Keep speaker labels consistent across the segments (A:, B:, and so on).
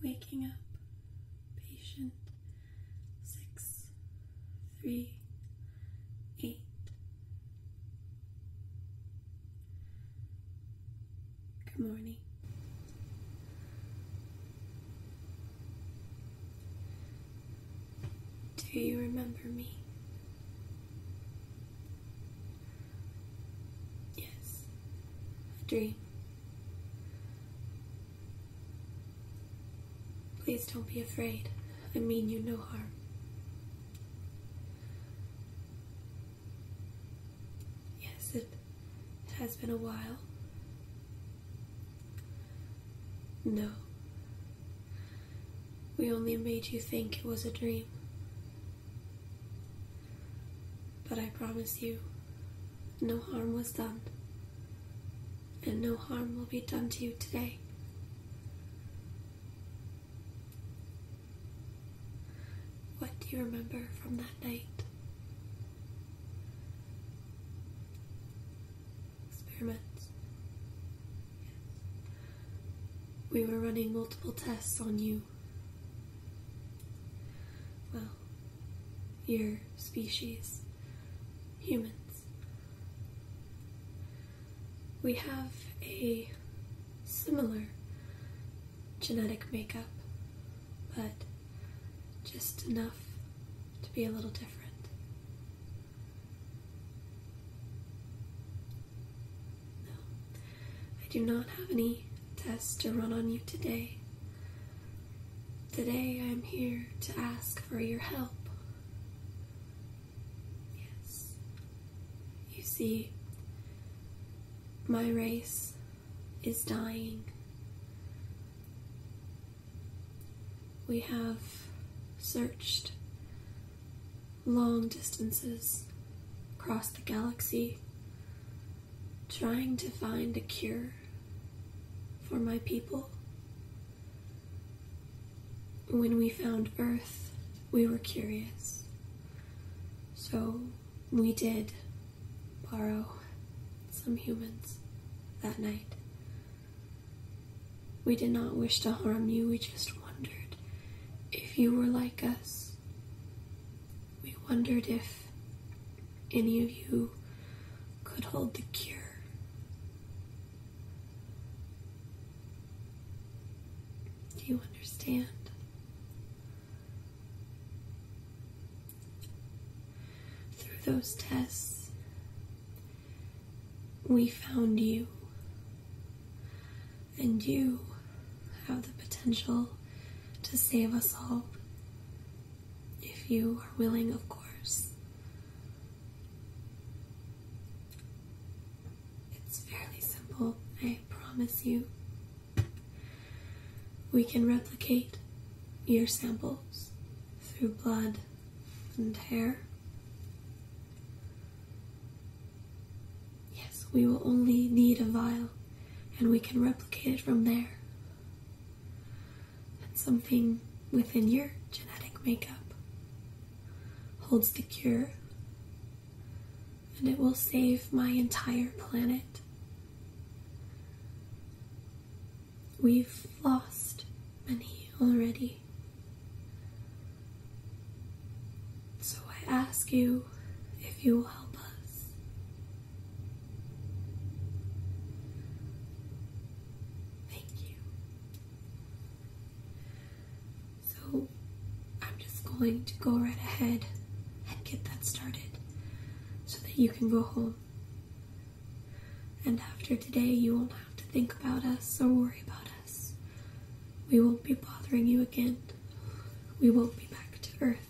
A: Waking up, patient six, three, eight. Good morning. Do you remember me? Yes, a dream. Please don't be afraid. I mean you no harm. Yes, it, has been a while. No. We only made you think it was a dream. But I promise you, no harm was done. And no harm will be done to you today. What do you remember from that night? Experiments. We were running multiple tests on you. Well, your species, humans. We have a similar genetic makeup but just enough to be a little different. No, I do not have any tests to run on you today. Today I'm here to ask for your help. Yes. You see, my race is dying. We have searched long distances across the galaxy trying to find a cure for my people. When we found Earth, we were curious. So we did borrow some humans that night. We did not wish to harm you, we just wondered if you were like us. We wondered if any of you could hold the cure. Do you understand? Through those tests, we found you, and you have the potential to save us all. If you are willing, of course. It's fairly simple, I promise you. We can replicate your samples through blood and hair. Yes, we will only need a vial and we can replicate it from there. And something within your genetic makeup holds the cure and it will save my entire planet. We've lost many already. So I ask you if you will help us. Thank you. So I'm just going to go right ahead and get that started so that you can go home. And after today, you won't have to think about us or worry about us. We won't be bothering you again. We won't be back to Earth.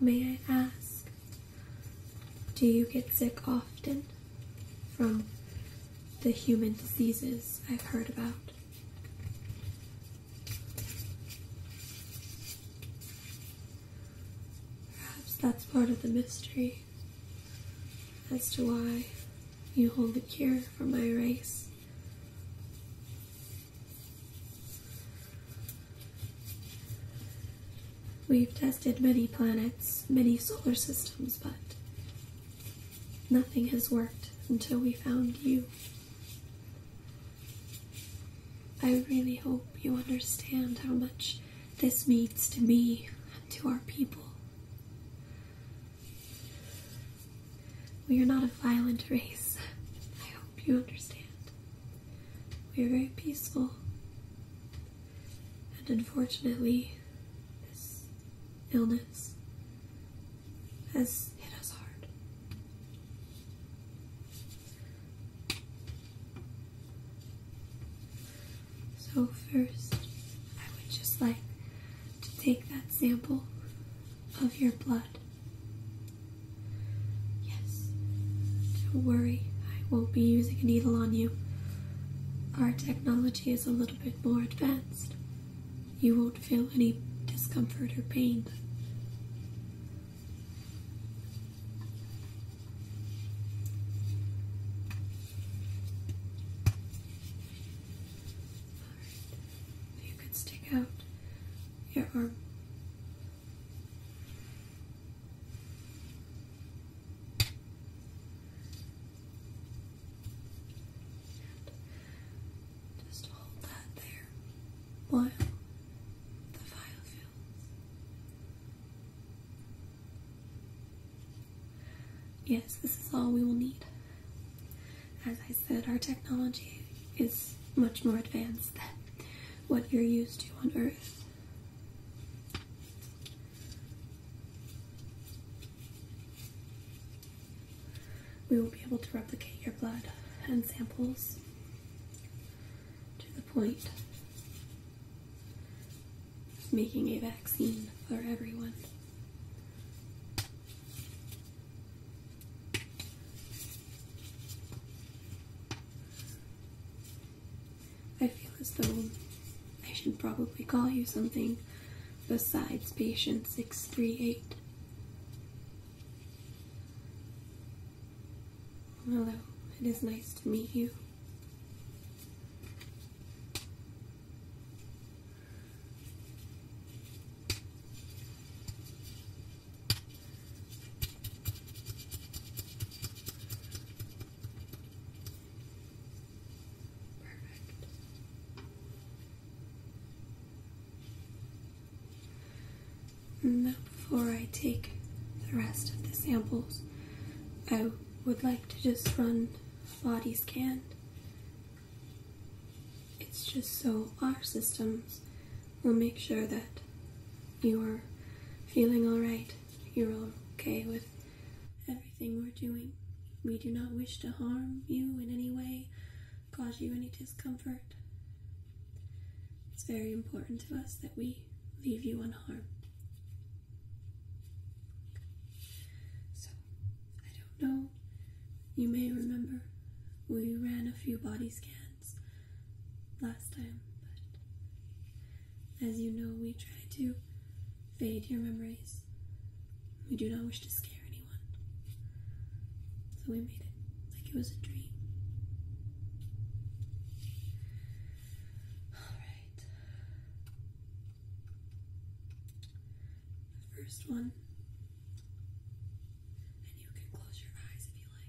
A: May I ask do you get sick often from the human diseases I've heard about? Perhaps that's part of the mystery as to why you hold the cure for my race. We've tested many planets, many solar systems, but nothing has worked until we found you. I really hope you understand how much this means to me and to our people. We are not a violent race. I hope you understand. We are very peaceful and unfortunately, this illness has hit us hard. So, first, I would just like to take that sample of your blood Yes. Don't worry, I won't be using a needle on you. Our technology is a little bit more advanced. You won't feel any discomfort or pain. You can stick out your arm
B: just hold that there
A: while the file Yes, this is all we will need. As I said, our technology is much more advanced than what you're used to on Earth. We will be able to replicate your blood and samples to the point of making a vaccine for everyone. I feel as though I should probably call you something besides patient 638. Hello, it is nice to meet you. Perfect. Now, before I take the rest of the samples, I would like to just run a body scan. It's just so our systems We'll make sure that you are feeling all right. You're okay with everything we're doing. We do not wish to harm you in any way, cause you any discomfort. It's very important to us that we leave you unharmed. So, I don't know. You may remember we ran a few body scans last time, but as you know, we try to fade your memories. We do not wish to scare anyone. So we made it like it was a dream.
B: Alright. first
A: one. And you can close your eyes if you like.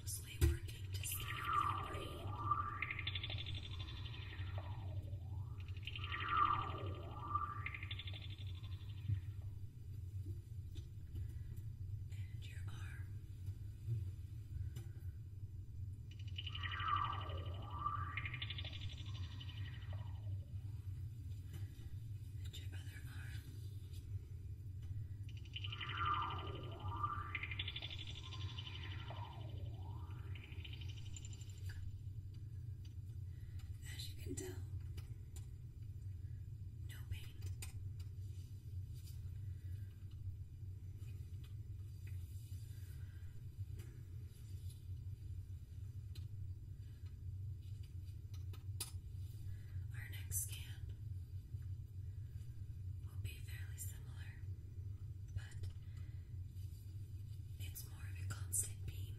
A: Mostly
B: working to scan the brain. And your arm. And your other arm. As you can tell, no pain. Our next scan will be fairly similar, but it's more of a constant beam.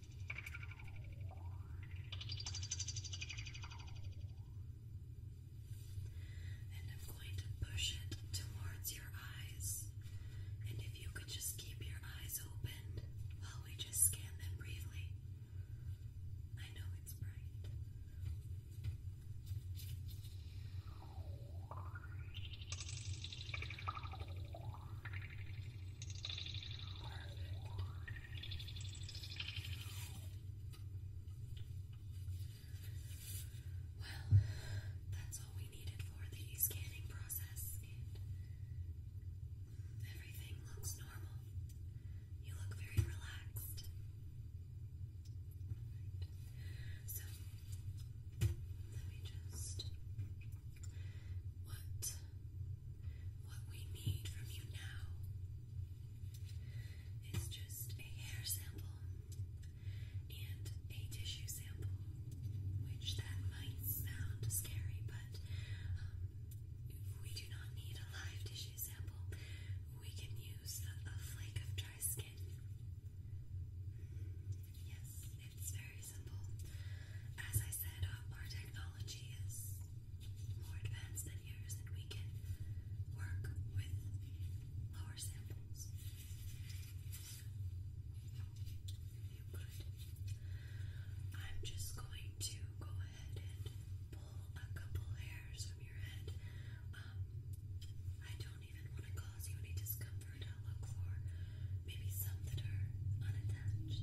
B: And I'm going to push it towards your eyes. And if you could just keep your eyes open while we just scan them briefly. I know it's bright. Good. Well, that's all we needed for the scanning process, everything looks normal. You look very relaxed. So, let me just what what we need from you now is just a hair sample and a tissue sample, which that might sound scary, but um, we do not need a live tissue sample. We can use a flake of dry skin. Yes, it's very as I said, uh, our, technology is more advanced than yours, and we can work with lower samples. You could. I'm just going to go ahead and pull a couple hairs from your head. Um, I don't even want to cause you any discomfort. I'll look for maybe some that are unattached.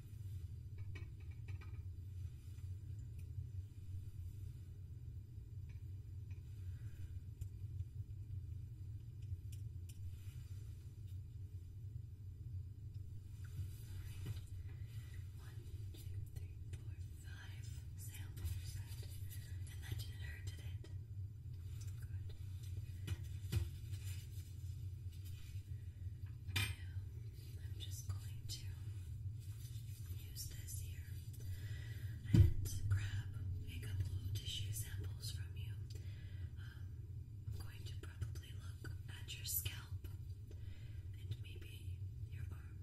B: One, two, three, four, five samples. And that didn't hurt, did it? Good. Now, I'm just going to use this here and grab a couple tissue samples from you. Um, I'm going to probably look at your scalp and maybe your arm.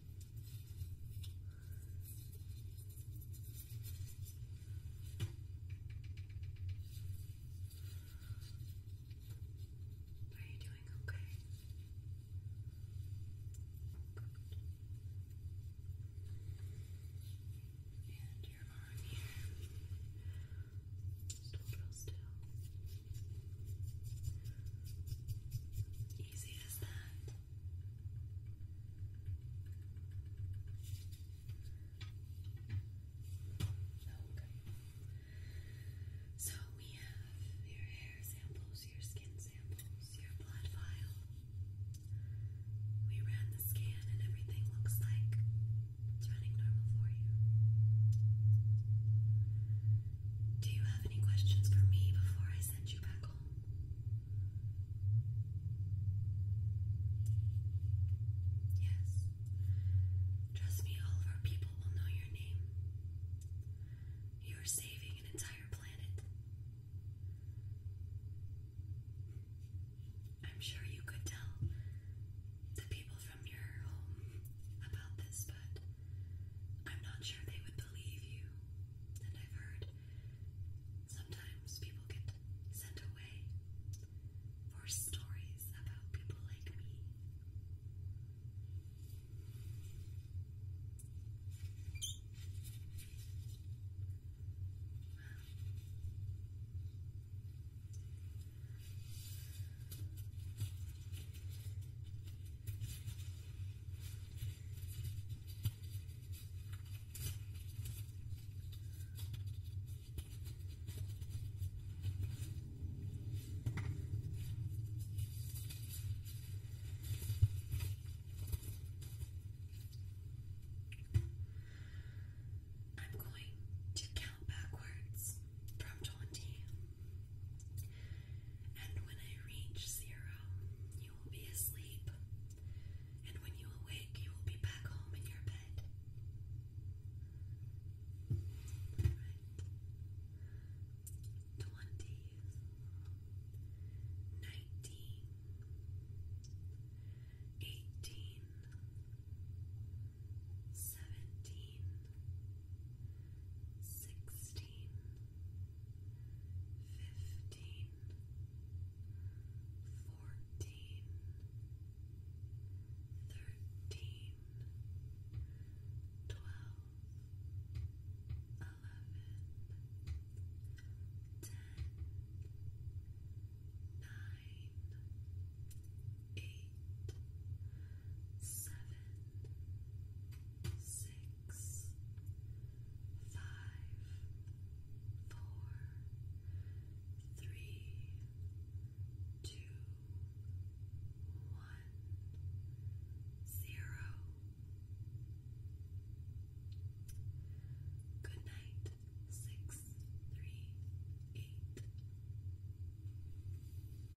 B: Are you doing okay? And your arm here. Just hold still easy So we have your hair samples, your skin samples, your blood vial. We ran the scan and everything looks like it's running normal for you. Do you have any questions for me before I send you back home? Yes. Trust me, all of our people will know your name. You are saving an entire planet. I'm sure you could tell the people from your home about this, but I'm not sure they would believe you. And I've heard sometimes people get sent away for stories about people like me. I'm going to count backwards from 20 and when I reach zero, you will be asleep. And when you awake, you will be back home in your bed. All fifteen, fourteen, thirteen, twelve, eleven, ten, nine, eight, seven six, five, four, three, two, one, zero. Good night, six, three, eight.